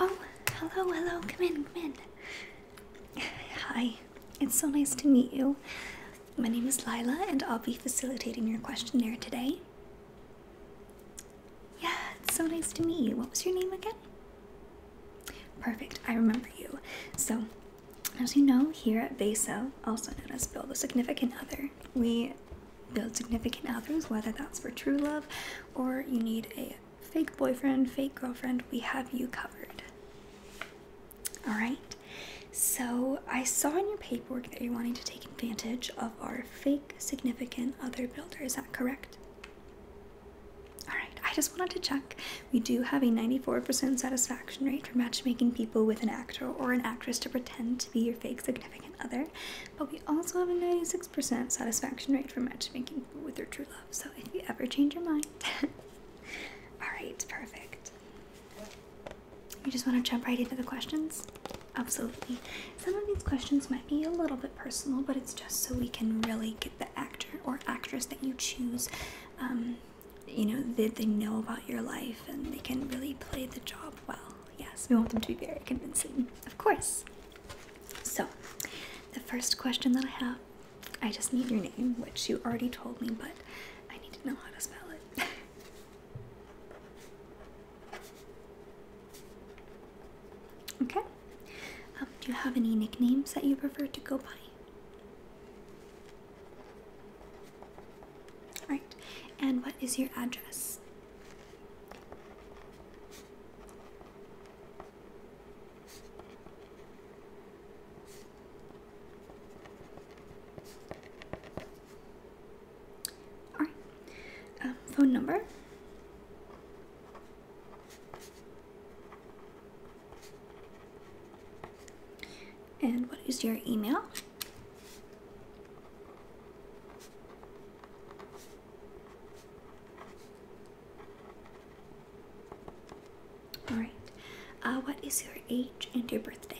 Oh, hello, hello. Come in, come in. Hi. It's so nice to meet you. My name is Lila, and I'll be facilitating your questionnaire today. Yeah, it's so nice to meet you. What was your name again? Perfect, I remember you. So, as you know, here at BESA, also known as Build a Significant Other, we build significant others, whether that's for true love or you need a fake boyfriend, fake girlfriend, we have you covered. All right. So, I saw in your paperwork that you're wanting to take advantage of our fake significant other builders. Is that correct? All right. I just wanted to check. We do have a 94% satisfaction rate for matchmaking people with an actor or an actress to pretend to be your fake significant other. But we also have a 96% satisfaction rate for matchmaking with your true love. So if you ever change your mind, alright, perfect. You just want to jump right into the questions? Absolutely. Some of these questions might be a little bit personal, but it's just so we can really get the actor or actress that you choose. Um, you know, that they know about your life and they can really play the job well. Yes, we want them to be very convincing, of course. So, the first question that I have, I just need your name, which you already told me, but I need to know how to spell it. okay. Um, do you have any nicknames that you prefer to go by? Right. and what is your address? Um, phone number. And what is your email? All right. Uh, what is your age and your birthday?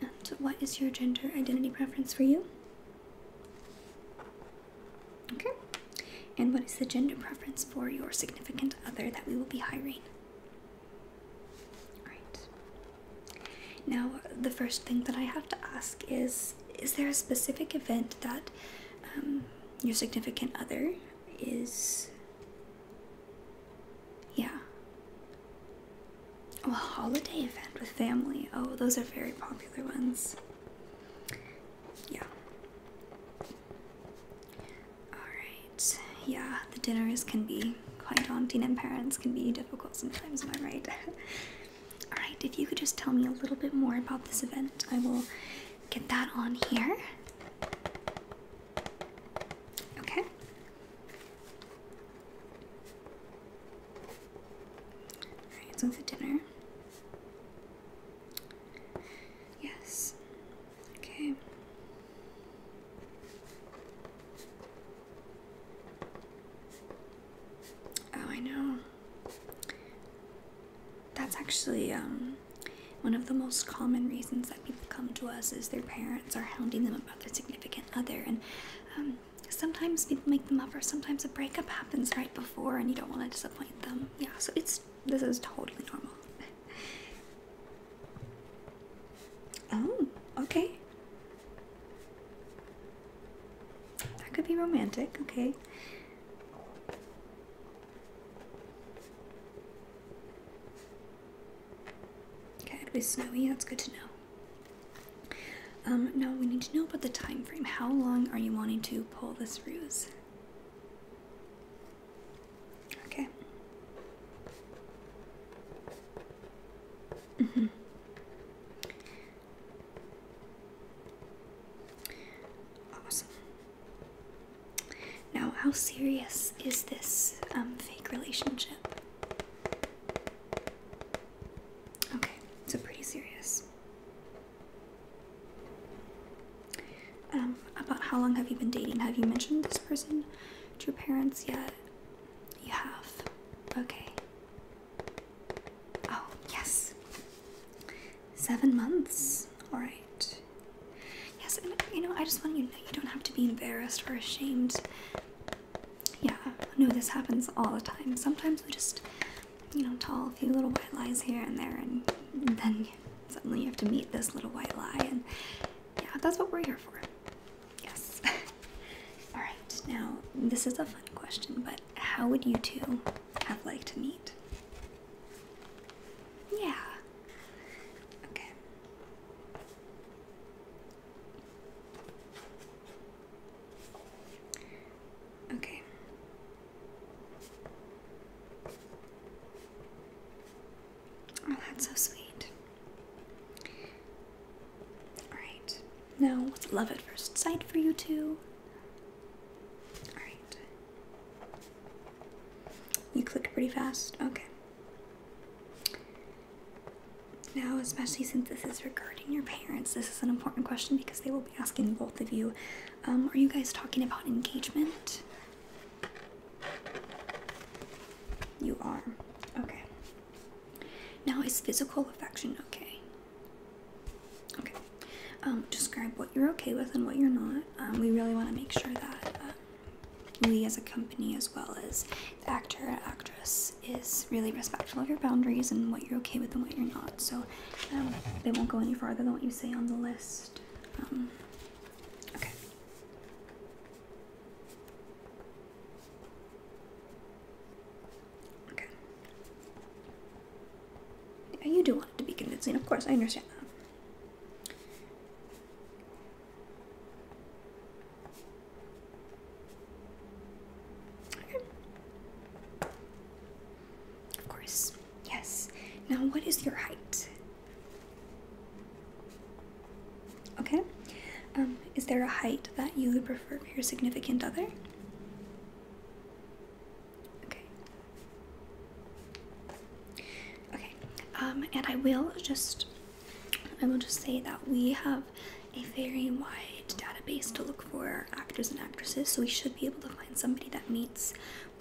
And what is your gender identity preference for you? Okay. And what is the gender preference for your significant other that we will be hiring? Alright. Now, the first thing that I have to ask is Is there a specific event that um, your significant other is. Yeah. a holiday event with family. Oh, those are very popular ones. Yeah. Alright. Yeah, the dinners can be quite daunting and parents can be difficult sometimes, am I right? Alright, if you could just tell me a little bit more about this event, I will get that on here. Okay. Alright, so it's a dinner. Yes. Okay. Oh, I know. That's actually um, one of the most common reasons that people come to us is their parents are hounding them about their significant other, and um, sometimes people make them up, or sometimes a breakup happens right before, and you don't want to disappoint them yeah, so it's this is totally normal. oh, okay. That could be romantic, okay. Okay, it'll be snowy, that's good to know. Um, now we need to know about the time frame. How long are you wanting to pull this ruse? Okay. Mm -hmm. Awesome. Now, how serious is this um, fake relationship? Okay, so pretty serious. Um, about how long have you been dating? Have you mentioned this person to your parents yet? You have. Okay. Oh, yes. Seven months. Alright. Yes, and you know, I just want you to know you don't have to be embarrassed or ashamed. Yeah, no, this happens all the time. Sometimes we just you know, tall, a few little white lies here and there, and then suddenly you have to meet this little white lie, and yeah, that's what we're here for. Yes. All right. Now, this is a fun question, but how would you two have liked to meet? Yeah. Okay. Okay. Oh, that's so sweet. Alright. Now, what's love at first sight for you two? Alright. You clicked pretty fast? Okay. Now, especially since this is regarding your parents, this is an important question because they will asking both of you um, are you guys talking about engagement? You are. Okay. Now, is physical affection okay? Okay. Um, describe what you're okay with and what you're not. Um, we really want to make sure that we as a company, as well as the actor and actress, is really respectful of your boundaries and what you're okay with and what you're not. So, um, they won't go any farther than what you say on the list. Um, okay. Okay. you do want it to be convincing, of course, I understand that. Okay. Of course, yes. Now, what is your height? Okay. Um, is there a height that you would prefer for your significant other? Okay. Okay. Um, and I will just, I will just say that we have a very wide database to look for actors and actresses, so we should be able to find somebody that meets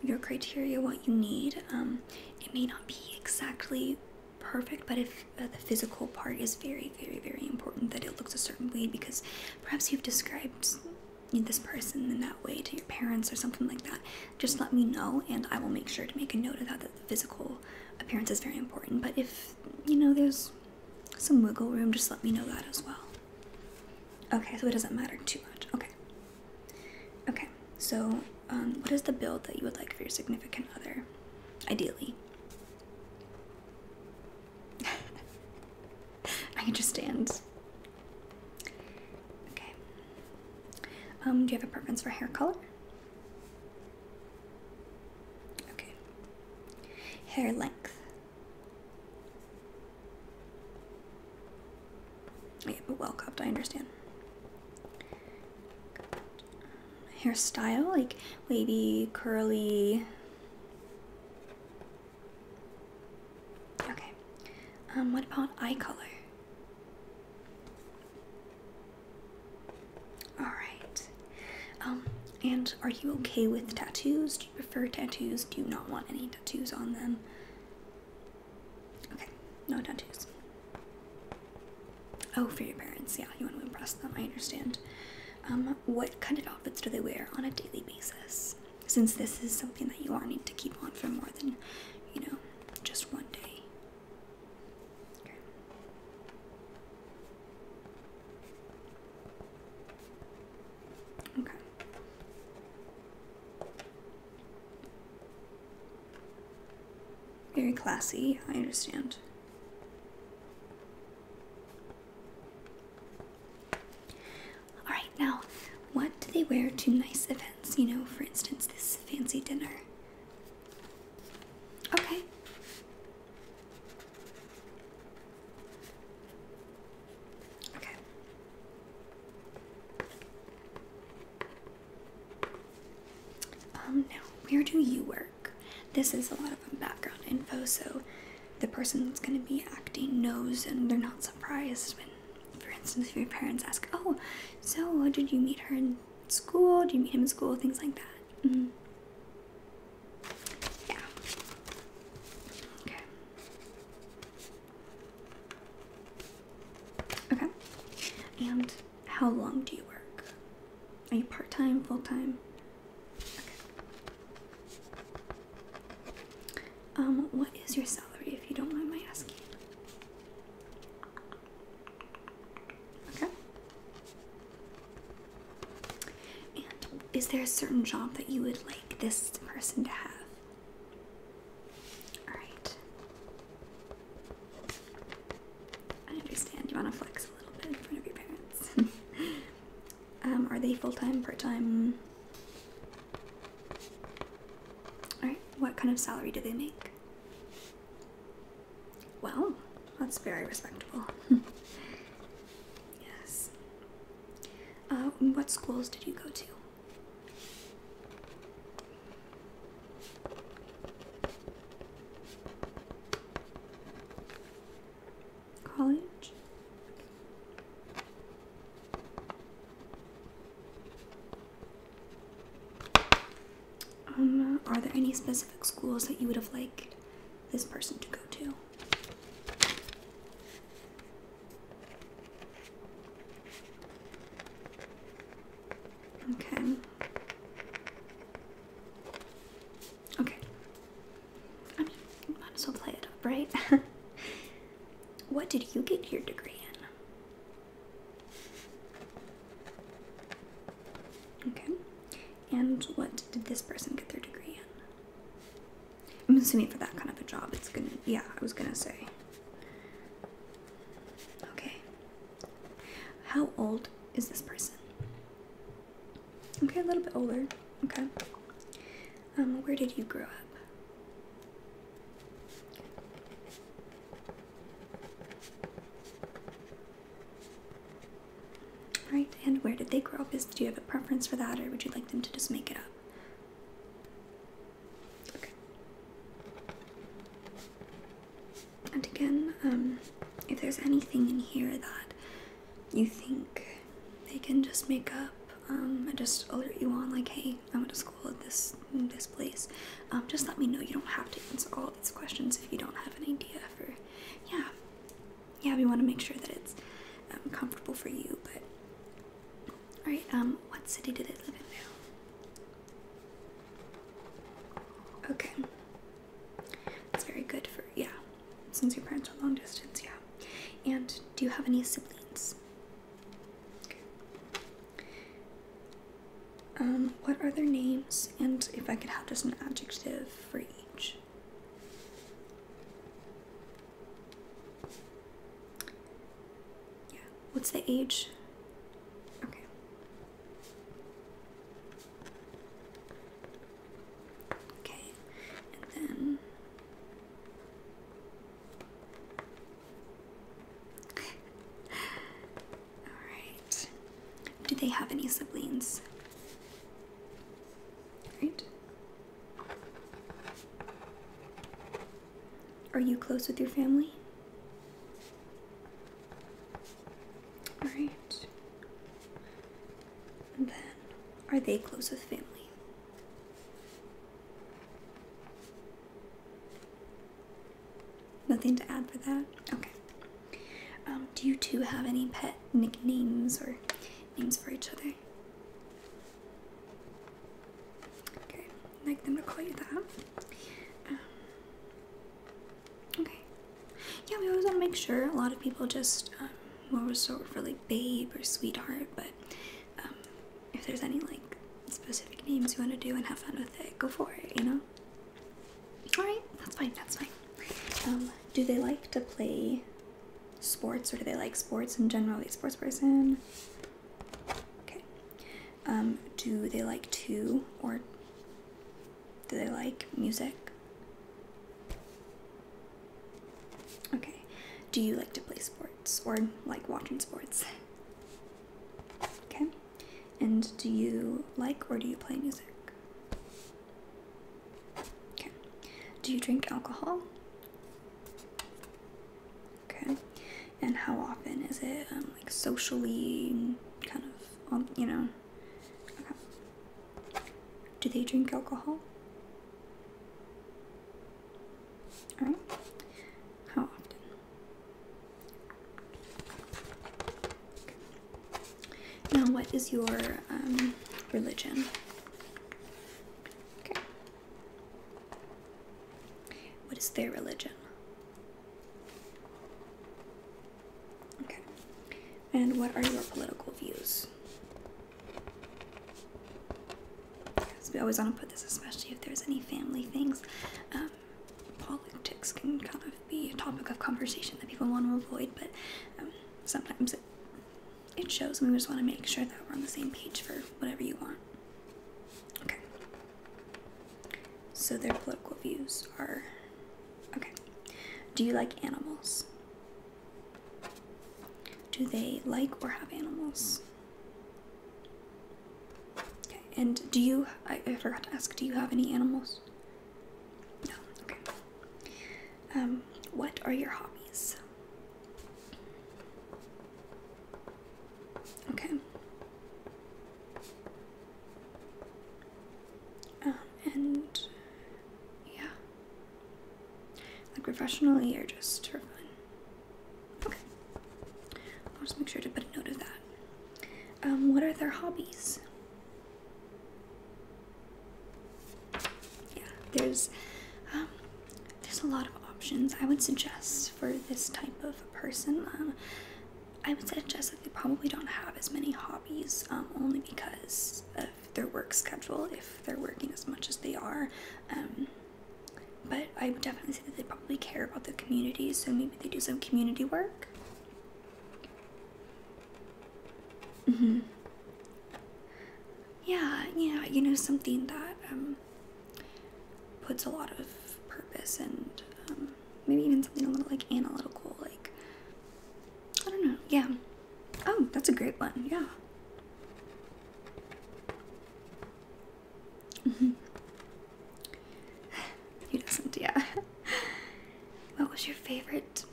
your criteria, what you need. Um, it may not be exactly perfect, but if uh, the physical part is very, very, very important, that it looks a certain way because perhaps you've described this person in that way to your parents or something like that, just let me know and I will make sure to make a note of that. That the physical appearance is very important, but if you know there's some wiggle room, just let me know that as well. Okay, so it doesn't matter too much. Okay. Okay, so um, what is the build that you would like for your significant other, ideally? I can just stand. Okay. Um, do you have a preference for hair color? Okay. Hair length. Yeah, but well cupped, I understand. Hairstyle, like wavy, curly. Okay. Um, what about eye color? Alright. Um, and are you okay with tattoos? Prefer tattoos do not want any tattoos on them okay no tattoos oh for your parents yeah you want to impress them i understand um, what kind of outfits do they wear on a daily basis since this is something that you are need to keep on for more than you know just one day Okay. Very classy, I understand. Alright, now, what do they wear to nice events? You know, for instance, this fancy dinner. Okay. Okay. Um, now, where do you work? This is a lot of background info, so the person that's going to be acting knows and they're not surprised when, for instance, your parents ask, Oh, so did you meet her in school? Did you meet him in school? Things like that. Mm-hmm. Yeah. Okay. Okay. And how long do you work? Are you part time, full time? Um, what is your salary if you don't mind my asking? Okay. And is there a certain job that you would like this person to have? Alright. I understand you want to flex a little bit in front of your parents. um, are they full time, part time? Alright, what kind of salary do they make? Well, that's very respectable. yes. Uh, what schools did you go to? College? Um, are there any specific schools that you would have liked this person to go to? Okay. Okay. I mean, might as well play it up, right? what did you get your degree in? Okay. And what did this person get their degree in? I'm assuming for that kind of a job, it's gonna, yeah, I was gonna say. Okay. How old is this person? Okay, a little bit older. Okay. Um, where did you grow up? Right, and where did they grow up? Is do you have a preference for that, or would you like them to just make it up? And again, um, if there's anything in here that you think they can just make up, um, and just alert you on, like, hey, I went to school at this this place. Um, just let me know. You don't have to answer all these questions if you don't have an idea for, yeah, yeah. We want to make sure that it's um, comfortable for you, but all right. Um, what city did they live in now? Okay. That's very good for yeah. Since your parents are long distance, yeah. And do you have any siblings? Um, what are their names? And if I could have just an adjective for each. Yeah. What's the age? Okay. Okay. And then All right. Do they have any siblings? Right? Are you close with your family? All right. And then, are they close with family? Nothing to add for that? Okay. Um, do you two have any pet nicknames or names for each other? Okay, like the McCoy that. Um, okay. Yeah, we always want to make sure. A lot of people just um, will resort for like babe or sweetheart, but um, if there's any like specific names you want to do and have fun with it, go for it, you know? Alright, that's fine, that's fine. Um, do they like to play sports or do they like sports in general? A they sports person? Okay. Um, do they like to or do they like music? Okay. Do you like to play sports or like watching sports? Okay. And do you like or do you play music? Okay. Do you drink alcohol? Okay. And how often is it um, like socially kind of um, you know? Do they drink alcohol? All right. How often? Now, what is your um, religion? Okay. What is their religion? Okay. And what are your political views? we always want to put this, especially if there's any family things. Um, politics can kind of be a topic of conversation that people want to avoid, but um, sometimes it it shows we just want to make sure that we're on the same page for whatever you want. Okay. So their political views are okay. Do you like animals? Do they like or have animals? Okay. And do you, I, I forgot to ask, do you have any animals? No. Okay. Um, what are your hobbies? Okay. Um, and yeah. Like professionally or just for fun. Okay. I'll just make sure to put a note of that. Um, what are their hobbies? yeah, there's um, there's a lot of options I would suggest for this type of person. Um, I would suggest that they probably don't have as many hobbies um, only because of their work schedule if they're working as much as they are. Um, but I would definitely say that they probably care about the community, so maybe they do some community work. Mm hmm yeah, yeah, you know, something that um, puts a lot of purpose and um, maybe even something a little like analytical, like I don't know, yeah. Oh, that's a great one, yeah. Mm -hmm. not yeah. what was your favorite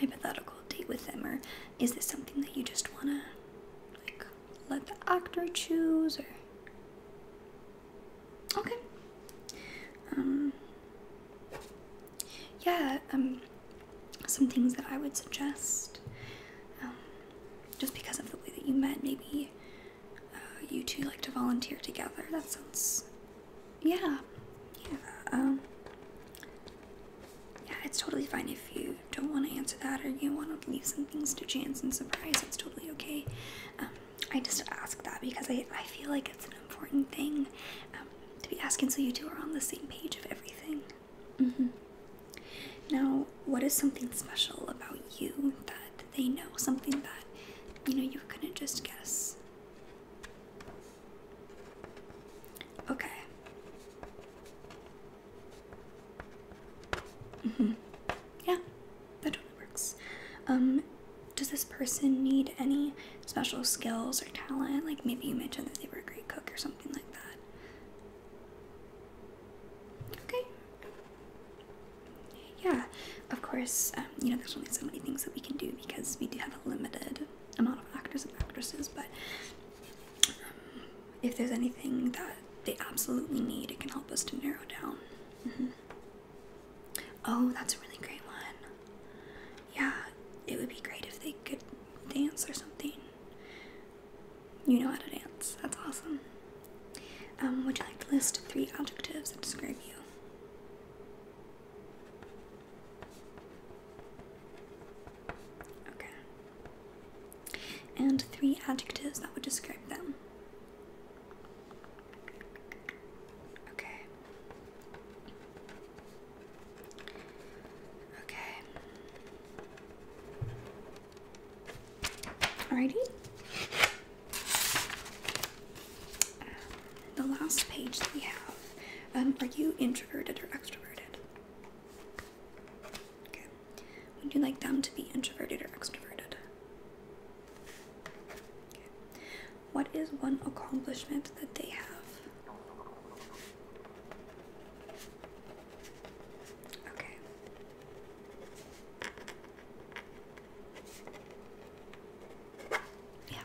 hypothetical date with them, or is this something that you just wanna like let the actor choose or okay um yeah um some things that i would suggest um, just because of the way that you met maybe uh, you two like to volunteer together that sounds yeah yeah um yeah it's totally fine if you don't want to answer that or you want to leave some things to chance and surprise, it's totally okay. Um, I just ask that because I, I feel like it's an important thing um, to be asking so you two are on the same page of everything. Mm-hmm. Now, what is something special about you that they know? Something that you know you couldn't just guess. Okay. Mm -hmm. Yeah, that totally works. Um, does this person need any special skills or talent? Like maybe you mentioned that they were a great cook or something like that. Okay. Yeah, of course, um, you know, there's only so many things that we can do because we do have a limited amount of actors and actresses, but um, if there's anything that they absolutely need, it can help us to narrow down. Mm-hmm. Oh, that's a really great one. Yeah, it would be great if they could dance or something. You know how to dance. That's awesome. Um, would you like to list three adjectives that describe you? Okay. And three adjectives that would describe them. Okay. Okay. Alrighty. the last page that we have. Um, are you introverted or extroverted? Okay. Would you like them to be introverted or extroverted? What is one accomplishment that they have? Okay. Yeah.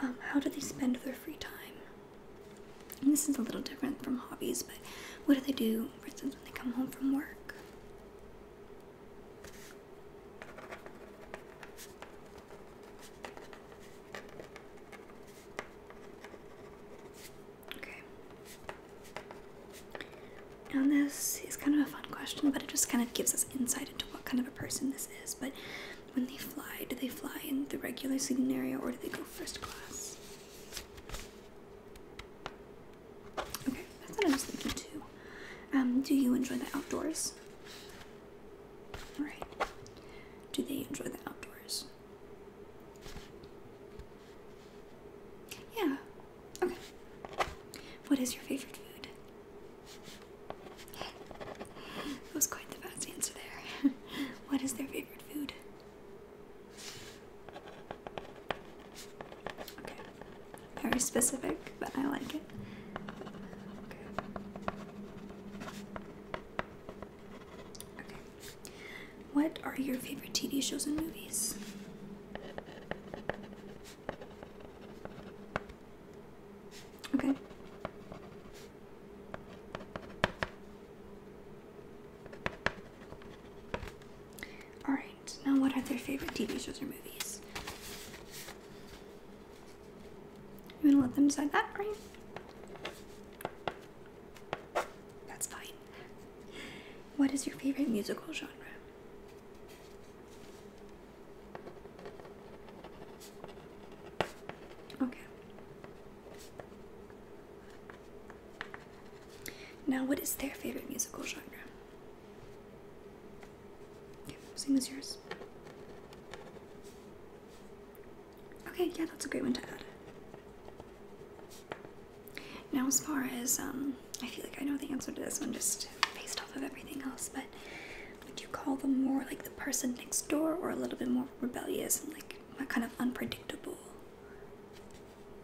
Um, how do they spend their free time? this is a little different from hobbies, but what do they do, for instance, when they come home from work? Okay. Now, this is kind of a fun question, but it just kind of gives us insight into what kind of a person this is. But when they fly, do they fly in the regular seating area or do they go first class? Okay, that's what I was thinking too. Um, do you enjoy the outdoors? Alright. Do they enjoy the outdoors? Yeah. Okay. What is your favorite food? that was quite the fast answer there. what is their favorite food? Okay. Very specific, but I like it. Okay. Okay. What are your favorite TV shows and movies? Okay. Alright, now what are their favorite TV shows or movies? You gonna let them decide that, right? That's fine. What is your favorite musical genre? Okay. Now, what is their favorite musical genre? same as yours. Okay, yeah, that's a great one to add. Now, as far as, um, I feel like I know the answer to this one just based off of everything else, but would you call them more like the person next door or a little bit more rebellious and like kind of unpredictable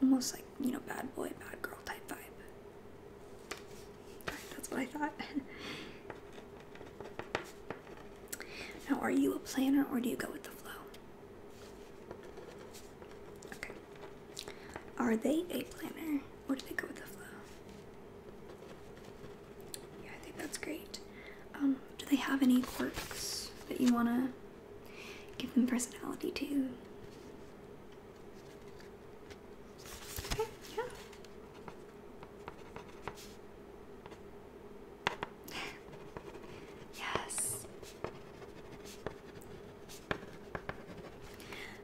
almost like you know bad boy bad girl type vibe that's what i thought now are you a planner or do you go with the flow okay are they a planner or do they go with the flow yeah i think that's great um do they have any quirks that you want to Give them personality too. Okay, yeah. yes.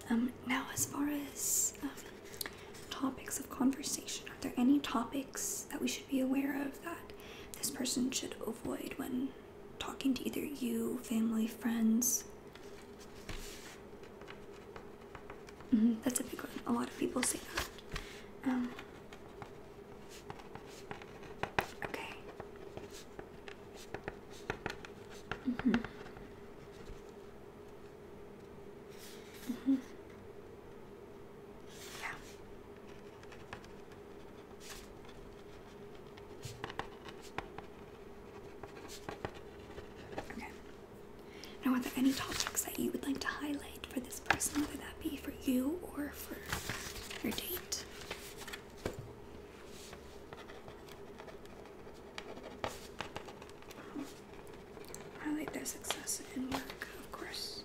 Um, now, as far as um, topics of conversation, are there any topics that we should be aware of that this person should avoid when talking to either you, family, friends. Mm-hmm, that's a big one. A lot of people say that. Um, okay. Mm -hmm. Mm -hmm. Yeah. Okay. Now, are there any topics that you would like to highlight for this person, whether that be for you or for your date? Highlight um, their success in work, of course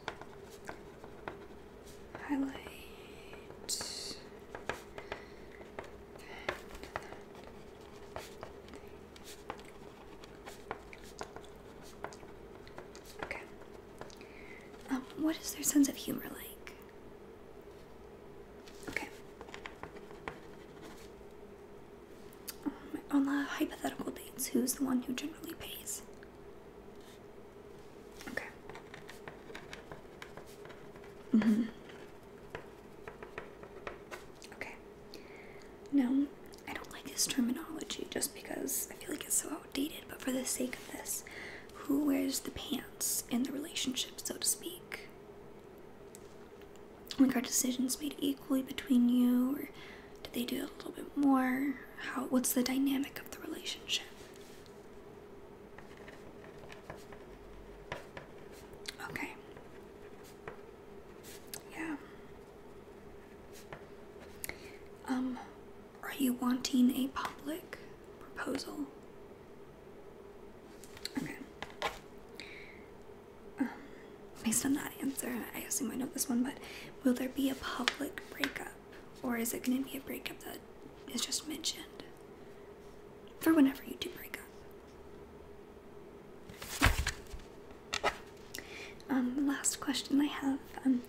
highlight that, Okay. Um, what is their sense of humor like? Okay. Um, on the hypothetical dates, who's the one who generally pays? Okay. Mm hmm Okay. No, I don't like this terminology just because I feel like it's so outdated, but for the sake of this, who wears the pants in the relationship, so to speak? Like, are decisions made equally between you, or do they do a little bit more? How? What's the dynamic of the relationship? Okay. Yeah. Um, are you wanting a public proposal? Okay. Um, based on that answer, I assume I know this one, but will there be a public breakup? Or is it going to be a breakup that is just mentioned? For whenever you do break up. Um, last question I have um,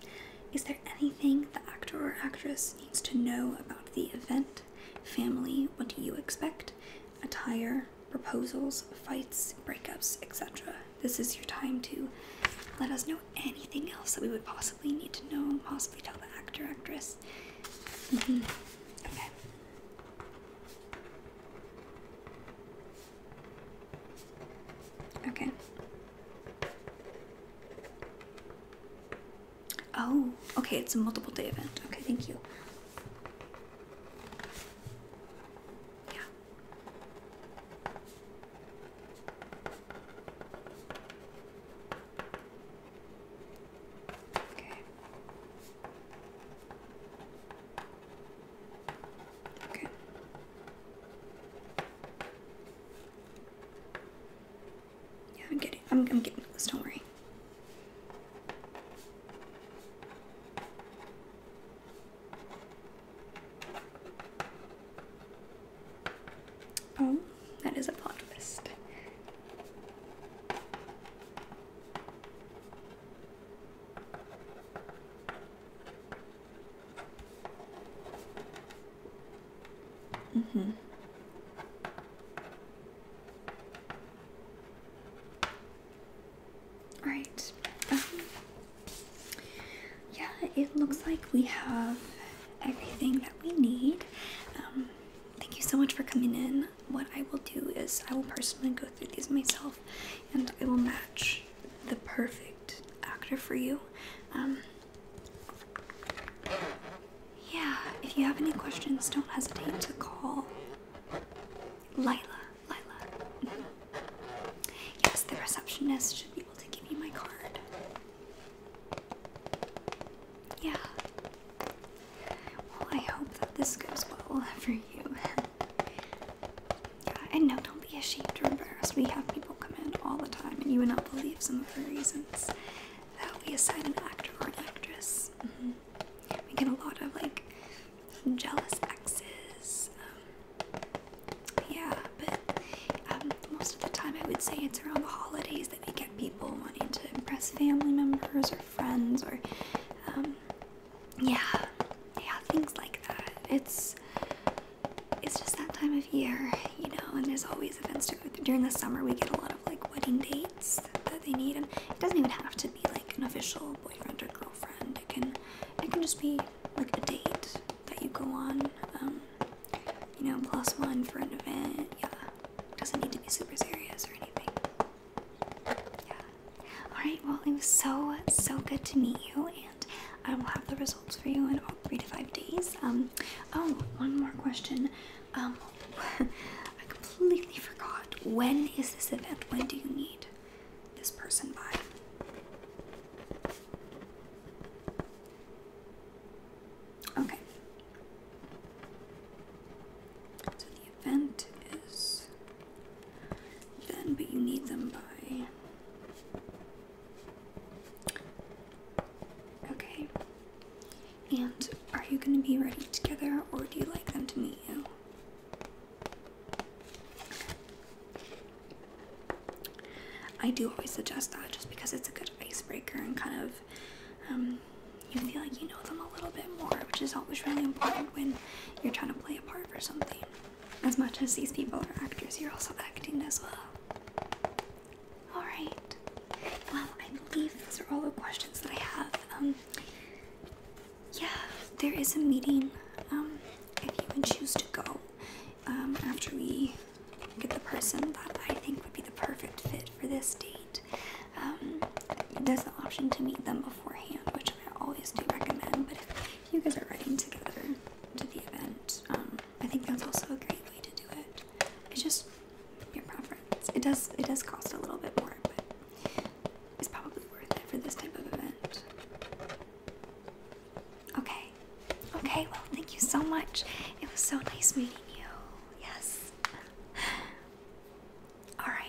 is there anything the actor or actress needs to know about the event? Family, what do you expect? Attire, proposals, fights, breakups, etc. This is your time to let us know anything else that we would possibly need to know possibly tell the actor, actress? Mm-hmm. Okay. Okay. Oh, okay, it's a multiple day event. Okay, thank you. Yeah. Okay. Okay. Yeah, I'm getting I'm I'm getting this, don't worry. Oh, that is a plot twist. Mm-hmm. All um, yeah, it looks like we have everything that we need. Um, thank you so much for coming in. What I will do is I will personally go through these myself and I will match the perfect actor for you. Um, yeah, if you have any questions, don't hesitate to call Lila. Lila. Mm-hmm. Yes, the receptionist should be able to give you my card. Yeah. Well, I hope that this goes well for you. yeah, and no, don't be ashamed or embarrassed. We have people come in all the time, and you would not believe some of the reasons that we assign an actor or an actress. Mm-hmm. We get a lot of like jealous exes. Um, yeah, but um, most of the time I would say it's around the holidays that we get people wanting to impress family members or friends or, um, yeah, yeah, things like that. It's it's just that time of year, you know, and there's always events to go through. During the summer, we get a lot of like wedding dates that they need, and it doesn't even have to be like an official boyfriend or girlfriend. It can it can just be like a date that you go on. Um, you know, plus one for an event. Yeah, doesn't need to be super serious or anything. Yeah. All right. Well, it was so so good to meet you, and I um, will have the results for you in about three to five days. Um. Oh, one more question. Um, I completely forgot. When is this event? When do you need this person by? Okay. So the event is then, but you need them by. Okay. And are you going to be ready together or do you like them to meet you? I do always suggest that just because it's a good icebreaker and kind of um, you feel like you know them a little bit more, which is always really important when you're trying to play a part for something. As much as these people are actors, you're also acting as well. Alright. Well, I believe those are all the questions that I have. Um, yeah, there is a meeting. Um, if you would choose to go, um, after we get the person that I think would be the perfect fit for this date. Um, there's the option to meet them beforehand, which I always do recommend. But if you guys are riding together to the event, um, I think that's also a great way to do it. It just your preference. It does it does cost a little bit more, but it's probably worth it for this type of event. Okay. Okay, well, thank you so much. It was so nice meeting you. Yes. Alright.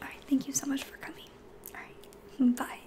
Alright, thank you so much for coming. Alright, bye.